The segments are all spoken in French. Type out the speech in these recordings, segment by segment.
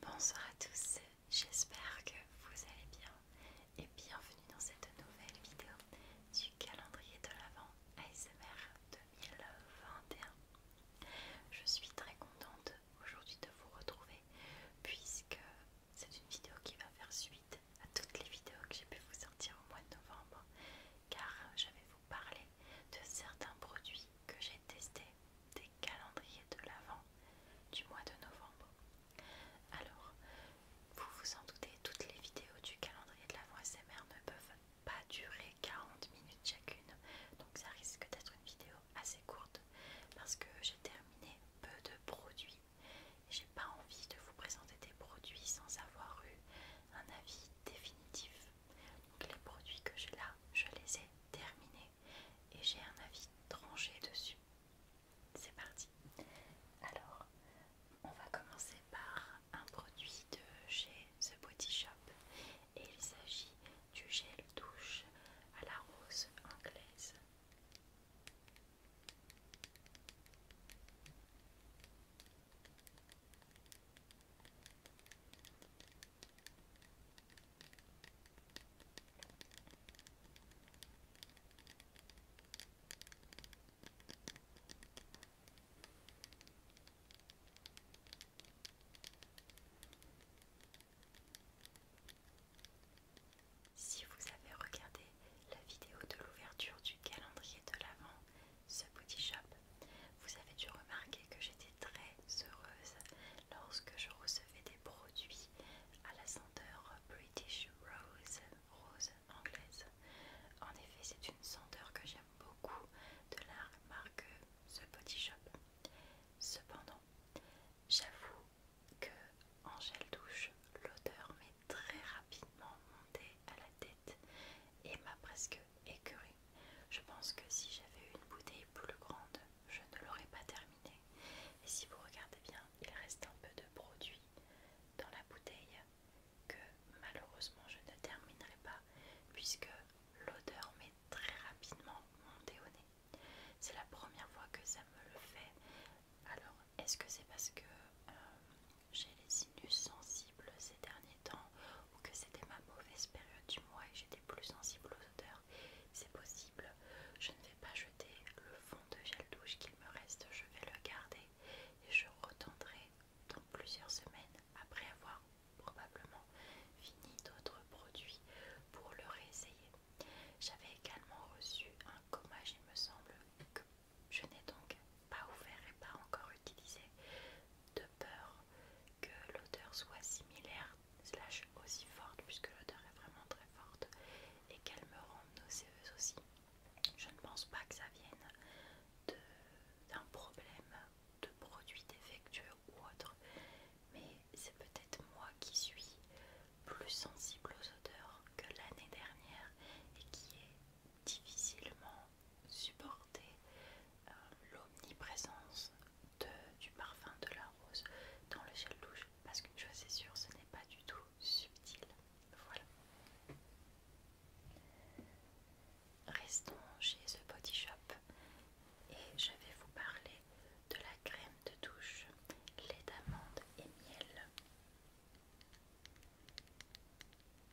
Bonsoir à tous, j'espère que vous allez bien et bienvenue dans cette nouvelle vidéo du calendrier de l'Avent ASMR 2021. Je suis très contente aujourd'hui de vous retrouver puisque c'est une vidéo qui va faire suite à toutes les vidéos que j'ai pu vous sortir au mois de novembre car j'avais vous parler de certains produits que j'ai testés, calendrier de l'avant du mois de novembre. Alors, vous vous en doutez, toutes les vidéos du calendrier de l'Avent SMR ne peuvent pas durer 40 minutes chacune, donc ça risque d'être une vidéo assez courte parce que j'ai terminé peu de produits et j'ai pas envie de vous présenter des produits sans avoir eu un avis définitif. Donc les produits que j'ai là, je les ai terminés et j'ai un avis tranché dessus. C'est parti. Alors, on va commencer par un produit de chez The Body Shop et il s'agit du gel douche à la rose anglaise. Si vous avez regardé la vidéo de l'ouverture du calendrier de l'avant, ce petit Shop vous avez dû remarquer que j'étais très heureuse lorsque je recevais des produits à la senteur British Rose, rose anglaise. En effet, c'est une senteur que j'aime beaucoup de la marque The Body Shop. Cependant, j'avoue que en gel douche, l'odeur m'est très rapidement montée à la tête et m'a presque Écurie. Je pense que si j'avais eu une bouteille plus grande, je ne l'aurais pas terminée. Et si vous regardez bien, il reste un peu de produit dans la bouteille que malheureusement je ne terminerai pas puisque l'odeur m'est très rapidement montée au nez. C'est la première fois que ça me le fait. Alors, est-ce que c'est parce que euh, j'ai les sinus sensibles ces derniers temps que c'était ma mauvaise période du mois et j'étais plus sensible aux odeurs. C'est possible. Je ne vais pas jeter le fond de gel douche qu'il me reste, je vais le garder et je retendrai dans plusieurs semaines après avoir probablement fini d'autres produits pour le réessayer. J'avais également reçu un gommage, il me semble, que je n'ai donc pas ouvert et pas encore utilisé de peur que l'odeur soit similaire, slash aussi forte, puisque l'odeur est vraiment très forte, et qu'elle me rende nauséeuse aussi. Je ne pense pas que ça vienne d'un problème de produit défectueux ou autre, mais c'est peut-être moi qui suis plus sensible aux odeurs que l'année dernière et qui est difficilement supporter euh, l'omniprésence du parfum de la rose dans le gel douche parce qu'une chose c'est sûre, ce n'est pas du tout subtil. Voilà. Restons chez The Body Shop et je vais vous parler de la crème de douche, lait d'amande et miel.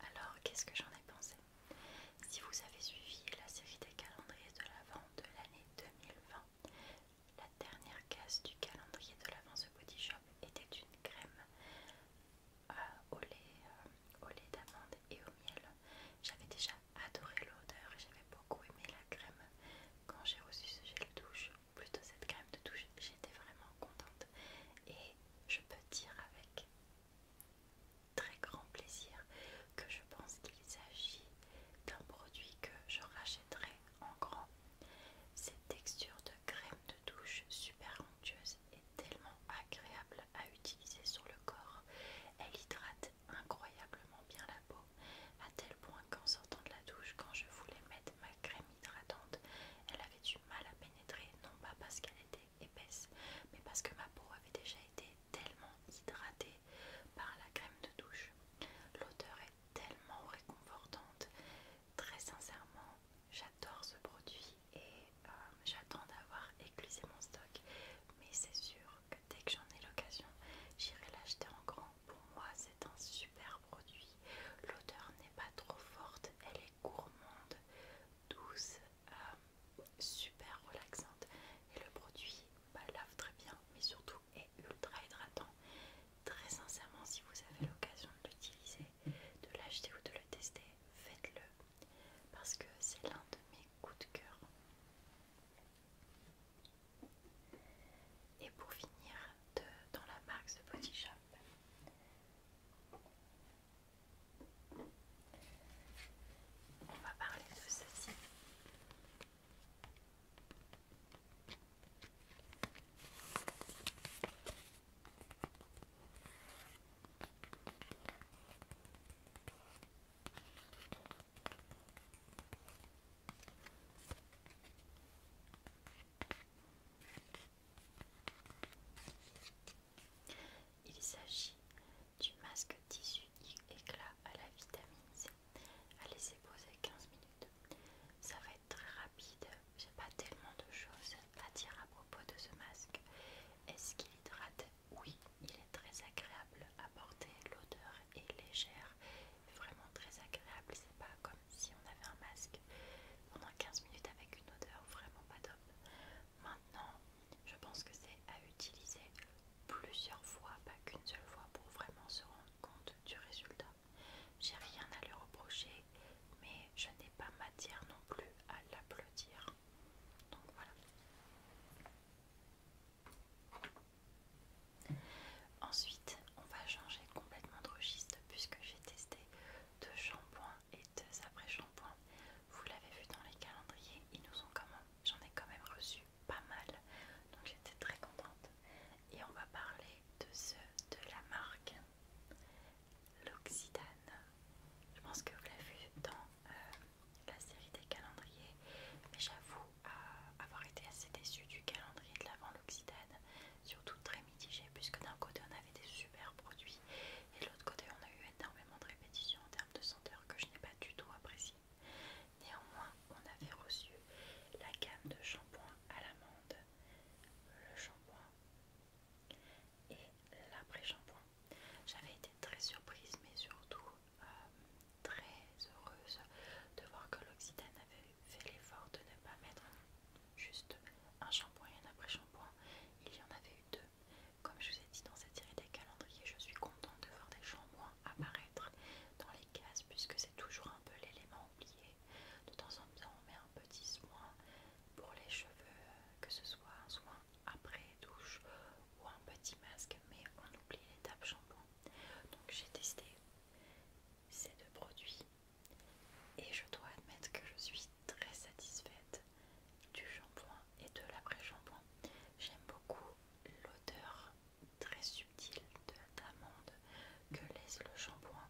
Alors, qu'est-ce que j'en ai pensé Si vous avez suivi la série des calendriers de l'Avent de l'année 2020, la dernière case du calendrier de l'Avent ce Body Shop était une crème euh, au lait, euh, au lait d'amande et au miel. J'avais déjà adoré l'odeur et j'avais beaucoup aimé la crème quand j'ai reçu ce gel douche, ou plutôt cette crème de douche, j'étais vraiment contente et je peux dire avec très grand plaisir que je pense qu'il s'agit d'un produit que je rachèterai en grand. Cette texture de crème de douche super onctueuse est tellement agréable à utiliser sur le corps. Elle hydrate incroyablement bien la peau, à tel point qu'en sortant de la douche, quand je voulais mettre ma crème hydratante, elle avait du mal à pénétrer, non pas parce qu'elle était épaisse, mais parce que ma peau avait déjà été tellement hydratée par la crème de douche. L'odeur est tellement réconfortante. Très sincèrement, j'adore ce produit et euh, j'attends d'avoir éclusé mon stock. Mais c'est sûr que dès que j'en ai l'occasion, j'irai l'acheter en grand. Pour moi, c'est un super produit. L'odeur n'est pas trop forte, elle est gourmande, douce, euh, super relaxante. Et le produit bah, lave très bien, mais surtout est ultra hydratant. Très sincèrement, si vous avez l'occasion de l'utiliser, de l'acheter ou de le tester, faites-le parce que c'est l'un de mes coups de cœur. Et pour finir, de, dans la marque de Body chap, on va parler de ceci. Il s'agit du masque tissu éclat à la vitamine C à laisser poser 15 minutes. Ça va être très rapide, j'ai pas tellement de choses à dire à propos de ce masque. Est-ce qu'il hydrate oui, il est très agréable à porter, l'odeur est légère, vraiment très agréable, c'est pas comme si on avait un masque pendant 15 minutes avec une odeur vraiment pas top. Maintenant, je pense que c'est à utiliser plusieurs fois, pas qu'une seule fois pour vraiment se rendre compte du résultat. J'ai rien à lui reprocher, mais je n'ai pas matière non plus à l'applaudir. Donc voilà. Ensuite, on va changer complètement de registre puisque j'ai testé deux shampoings et deux après-shampoings. Vous l'avez vu dans les calendriers, ils nous ont commandé. j'en ai quand même reçu pas mal, donc j'étais très contente. Et on va parler de ceux de la marque l'Occitane. Je pense que vous l'avez vu dans euh, la série des calendriers, mais j'avoue avoir été assez déçue du calendrier de l'avant l'Occitane, surtout très mitigé, puisque d'un côté on avait des super produits et de l'autre côté on a eu énormément de répétitions en termes de senteur que je n'ai pas du tout apprécié. Néanmoins, on avait reçu la gamme de shampoing à l'amande, le shampoing et l'après-shampoing. J'avais été très surprise, mais surtout euh, très heureuse de voir que l'Occitane avait fait l'effort de ne pas mettre juste un shampoing et un après-shampoing. Il y en avait eu deux. Comme je vous ai dit dans cette série des calendriers, je suis contente de voir des shampoings apparaître dans les cases puisque c'est toujours un peu l'élément oublié. De temps en temps, on met un petit soin pour les cheveux, que ce soit un soin après douche ou un petit masque, mais on oublie l'étape shampoing. Donc j'ai testé ces deux produits et je dois admettre que je suis très satisfaite du shampoing et de l'après-shampoing. J'aime beaucoup l'odeur très subtile d'amande que laisse le shampoing.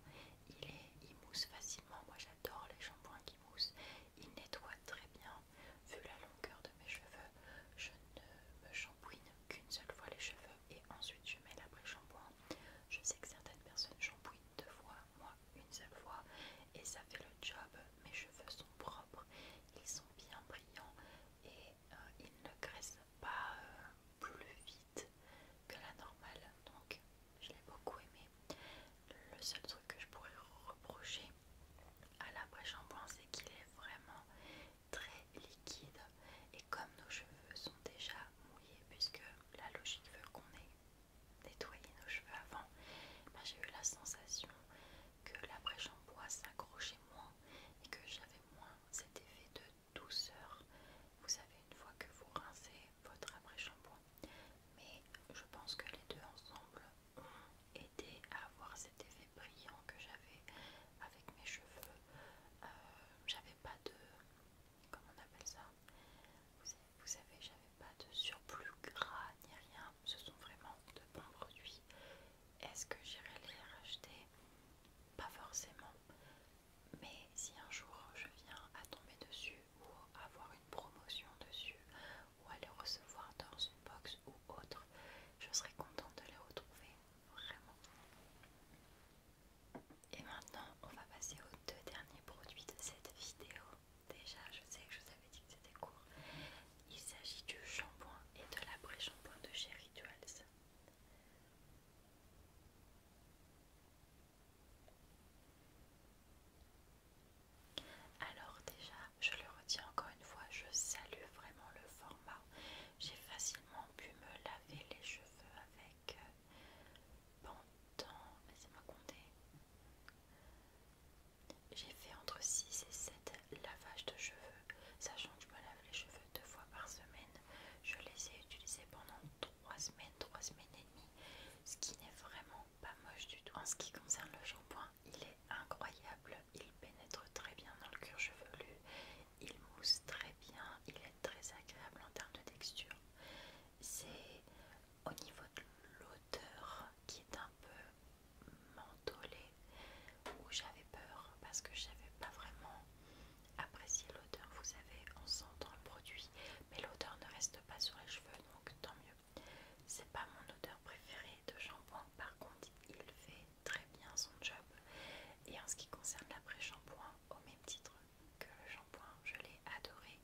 Il, est, il mousse facilement, moi j'adore les shampoings qui moussent. Il nettoie très bien vu la longueur de mes cheveux, je ne me shampouine qu'une seule fois les cheveux et ensuite je mets l'après-shampoing. Je sais que certaines personnes shampouinent deux fois, moi une seule fois, et ça fait le job. Mes cheveux sont propres, ils sont bien brillants et euh, ils ne graissent pas euh, plus vite que la normale. Donc je l'ai beaucoup aimé. Le seul truc que je pourrais reprocher à l'après-shampoing, c'est qu'il est vraiment très liquide. Et comme nos cheveux sont déjà mouillés, puisque la logique veut qu'on ait nettoyé nos cheveux avant, ben, j'ai eu la sensation que l'après-shampoing s'accrochait moins et que j'avais moins cet effet de douceur. Vous savez, une fois que vous rincez votre après-shampoing, mais je pense que les deux ensemble aider à avoir cet effet brillant que j'avais avec mes cheveux. Euh, j'avais pas de. Comment on appelle ça vous, savez, j'avais pas de surplus gras ni rien. Ce sont vraiment de bons produits. Est-ce que j'irai les racheter Pas forcément. Mais si un jour je viens à tomber dessus ou avoir une promotion dessus, ou à les recevoir dans une box ou autre. Je serais contente de les retrouver, vraiment. Et maintenant, on va passer aux deux derniers produits de cette vidéo. Déjà, je sais que je vous avais dit que c'était court. Il s'agit du shampoing et de l'après-shampoing de chez Rituals. Alors déjà, je le retiens encore une fois, je salue vraiment le format. J'ai facilement pu me laver les cheveux avec euh, pendant, laissez-moi compter. J'ai fait entre 6 et 7 lavages de cheveux, sachant que je me lave les cheveux deux fois par semaine. Je les ai utilisés pendant 3 semaines, 3 semaines et demie, ce qui n'est vraiment pas moche du tout. En ce qui concerne le shampoing, il est incroyable. Il pénètre très bien dans le cuir chevelu. Il mousse très bien. Il est très agréable en termes de texture. C'est au niveau de l'odeur qui est un peu mentholée où j'avais peur parce que je n'avais pas vraiment apprécié l'odeur. Vous savez, en sent le produit, mais l'odeur ne reste pas sur les cheveux, donc tant mieux. C'est pas mon odeur préférée de shampoing, par contre il fait très bien son job. Et en ce qui concerne l'après-shampoing, au même titre que le shampoing, je l'ai adoré.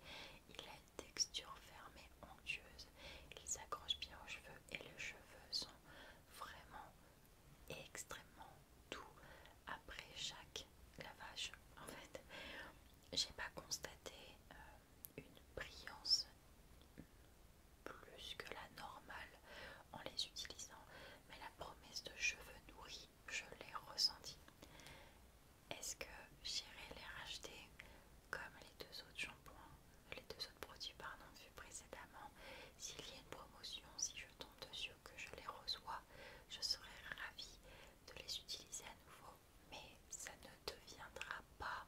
Il a une texture ferme et onctueuse, il s'accroche bien aux cheveux et les cheveux sont vraiment extrêmement doux après chaque lavage en fait. J'ai pas constaté euh, une brillance plus que la normale en les utilisant, mais la promesse de cheveux nourris, je l'ai ressentie. Est-ce que j'irai les racheter comme les deux autres shampoings, les deux autres produits Vu précédemment S'il y a une promotion, si je tombe dessus que je les reçois, je serai ravie de les utiliser à nouveau mais ça ne deviendra pas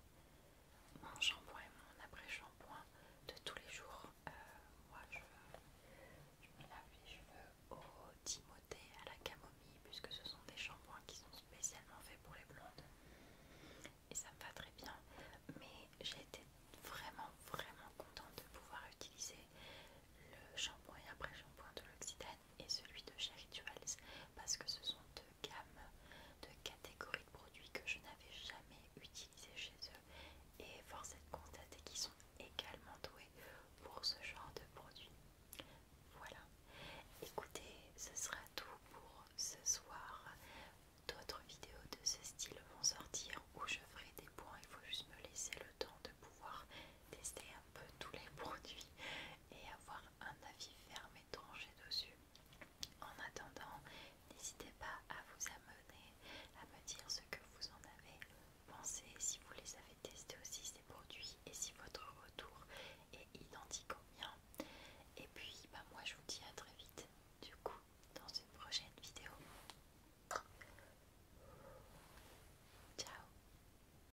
mon shampoing et mon après-shampoing de tous les jours. Euh, moi, je, je me lave les cheveux au Timothée, à la camomille, puisque ce sont des shampoings qui sont spécialement faits pour les blondes. Et ça me va très bien. Mais j'ai été vraiment, vraiment contente de pouvoir utiliser le shampoing et après-shampoing de l'Occitane et celui de chez Rituals parce que ce sont deux gammes, de catégories de produits que je n'avais jamais utilisé chez eux et force est de constater qu'ils sont également doués pour ce genre de produits. Voilà, écoutez, ce sera tout pour ce soir. D'autres vidéos de ce style vont sortir où je ferai des points, il faut juste me laisser le temps de pouvoir tester un peu tous les produits et avoir un avis ferme et tranché dessus. En attendant, n'hésitez pas à vous amener, à me dire ce que vous en avez pensé, si vous les avez testés aussi ces produits et si votre retour est identique au mien. Et puis bah moi je vous dis à très vite du coup dans une prochaine vidéo. Ciao